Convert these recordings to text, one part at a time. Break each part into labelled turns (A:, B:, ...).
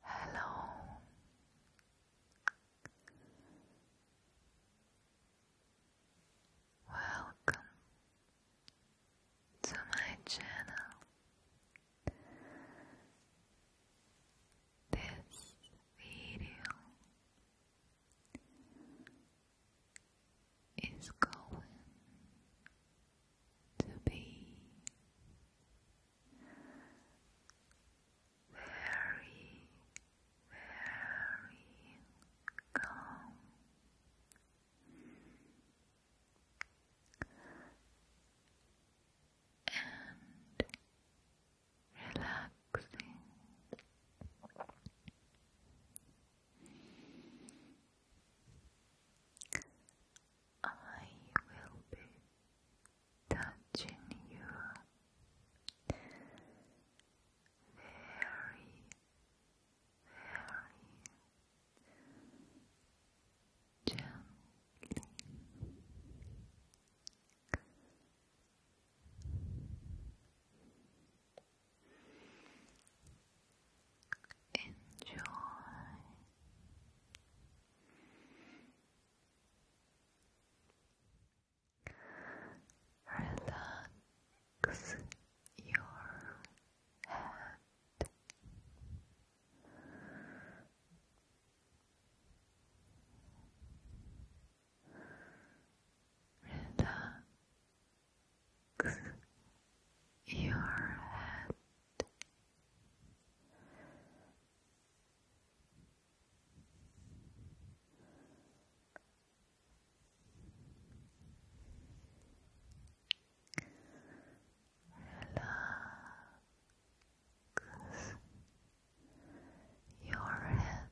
A: Hello. Welcome to my channel. This video is going to be very, very calm. And relaxing. I will be touching you very, very gently. Enjoy. Relax your head. Relax your head. Relax your head.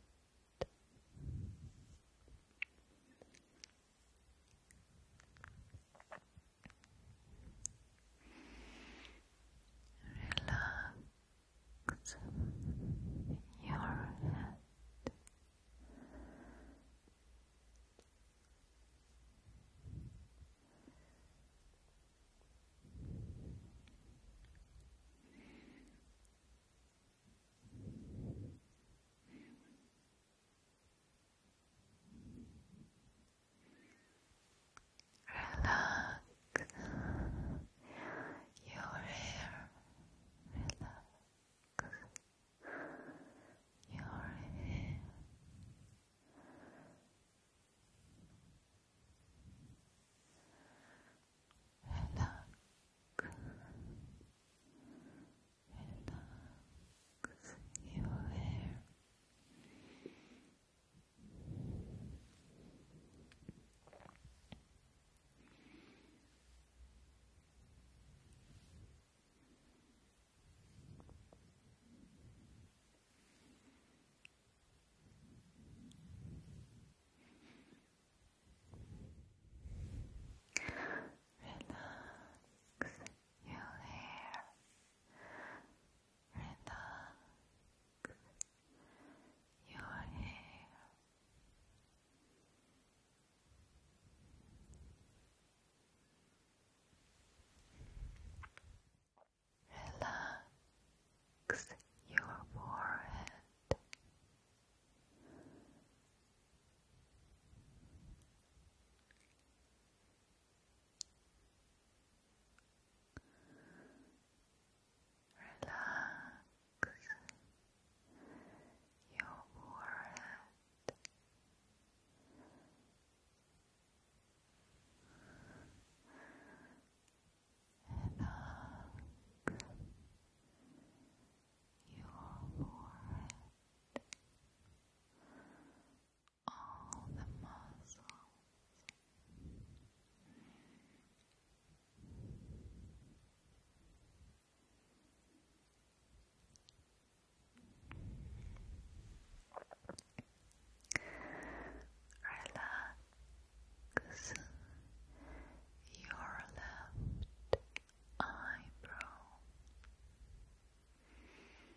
A: Relax your head. Relax your hair. Relax your hair. Relax relax your hair. Relax your hair. Relax your hair. Relax your forehead. Relax your forehead. Relax your forehead all the muscles. Relax your left eyebrow.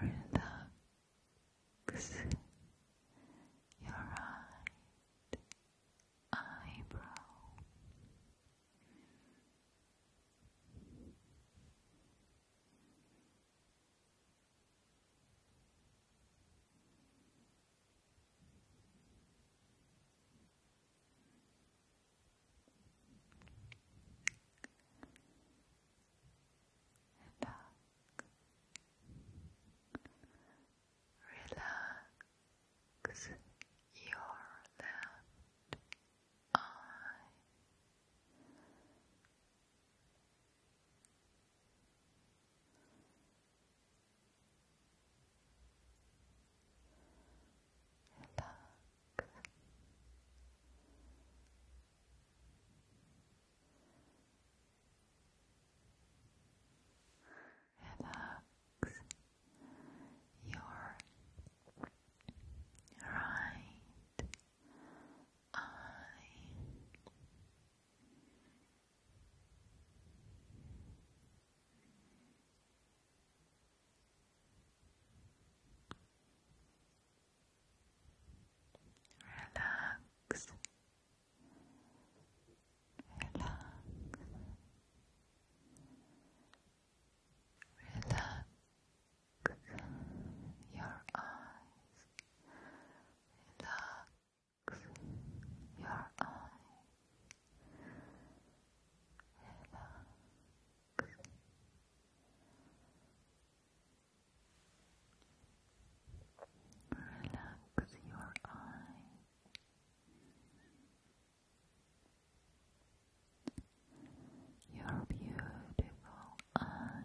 A: relax your right eyebrow. Your and back. Relax your left eye. Relax your right eye. Relax. Relax. Relax your eyes. Relax your eyes. Relax your eyes. Your beautiful eyes.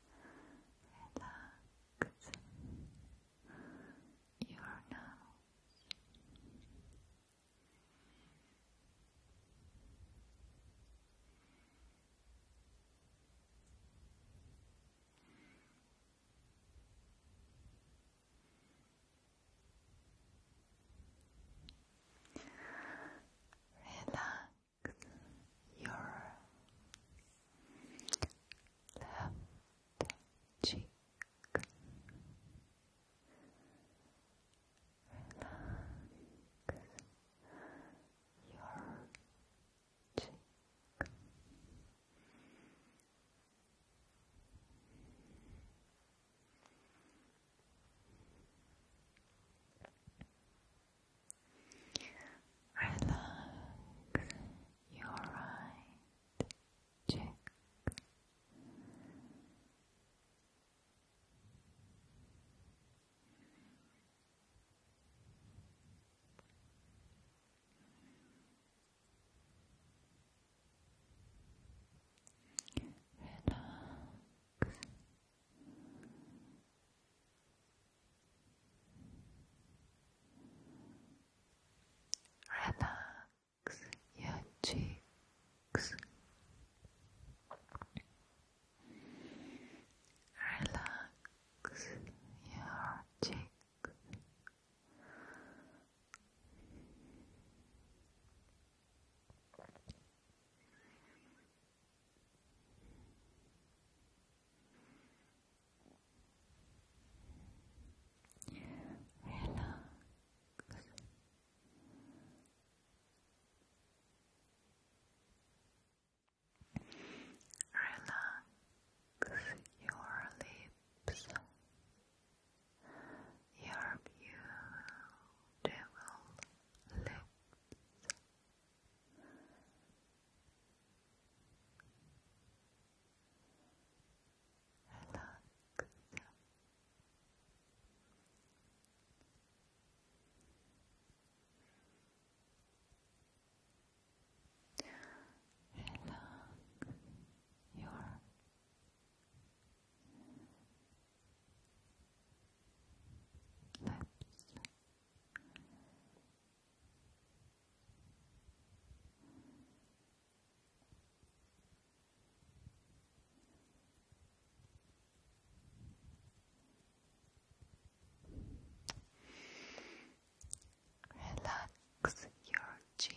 A: relax your nose. Relax your left cheek. Relax your cheek. Relax your right cheek. Relax Relax your cheeks. Relax your cheeks. Relax. Relax your lips. Your beautiful lips. Relax your lips. Relax your chin.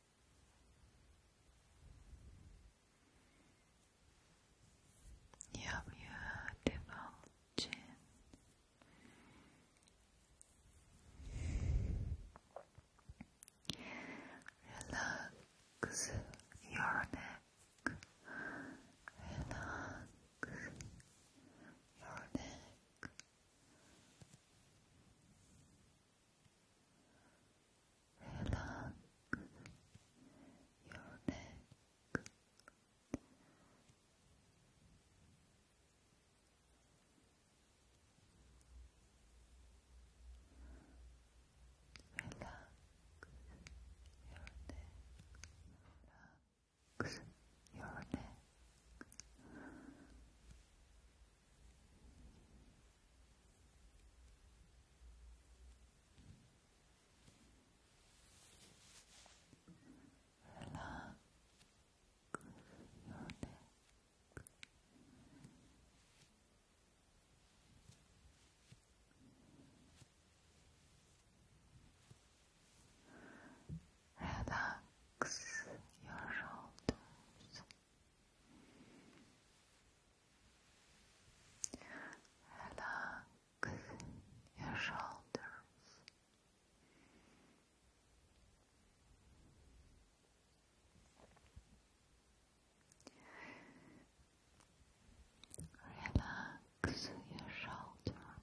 A: Your beautiful chin. Relax your neck. Relax your neck. Relax your neck. Relax your neck. Relax your neck. Relax your neck. Relax your shoulders. Relax your shoulders. Relax your shoulder.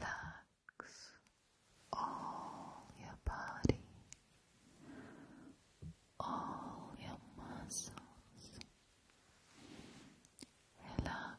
A: Relax all your body, all your muscles. Relax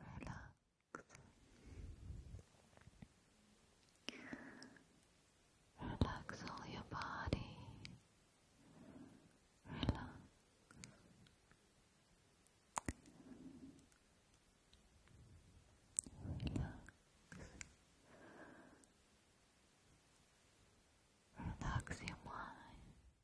A: Relax. Relax all your body. Relax. Relax. Relax your mind.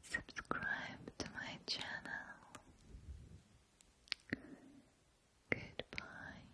A: Subscribe to my channel. Goodbye.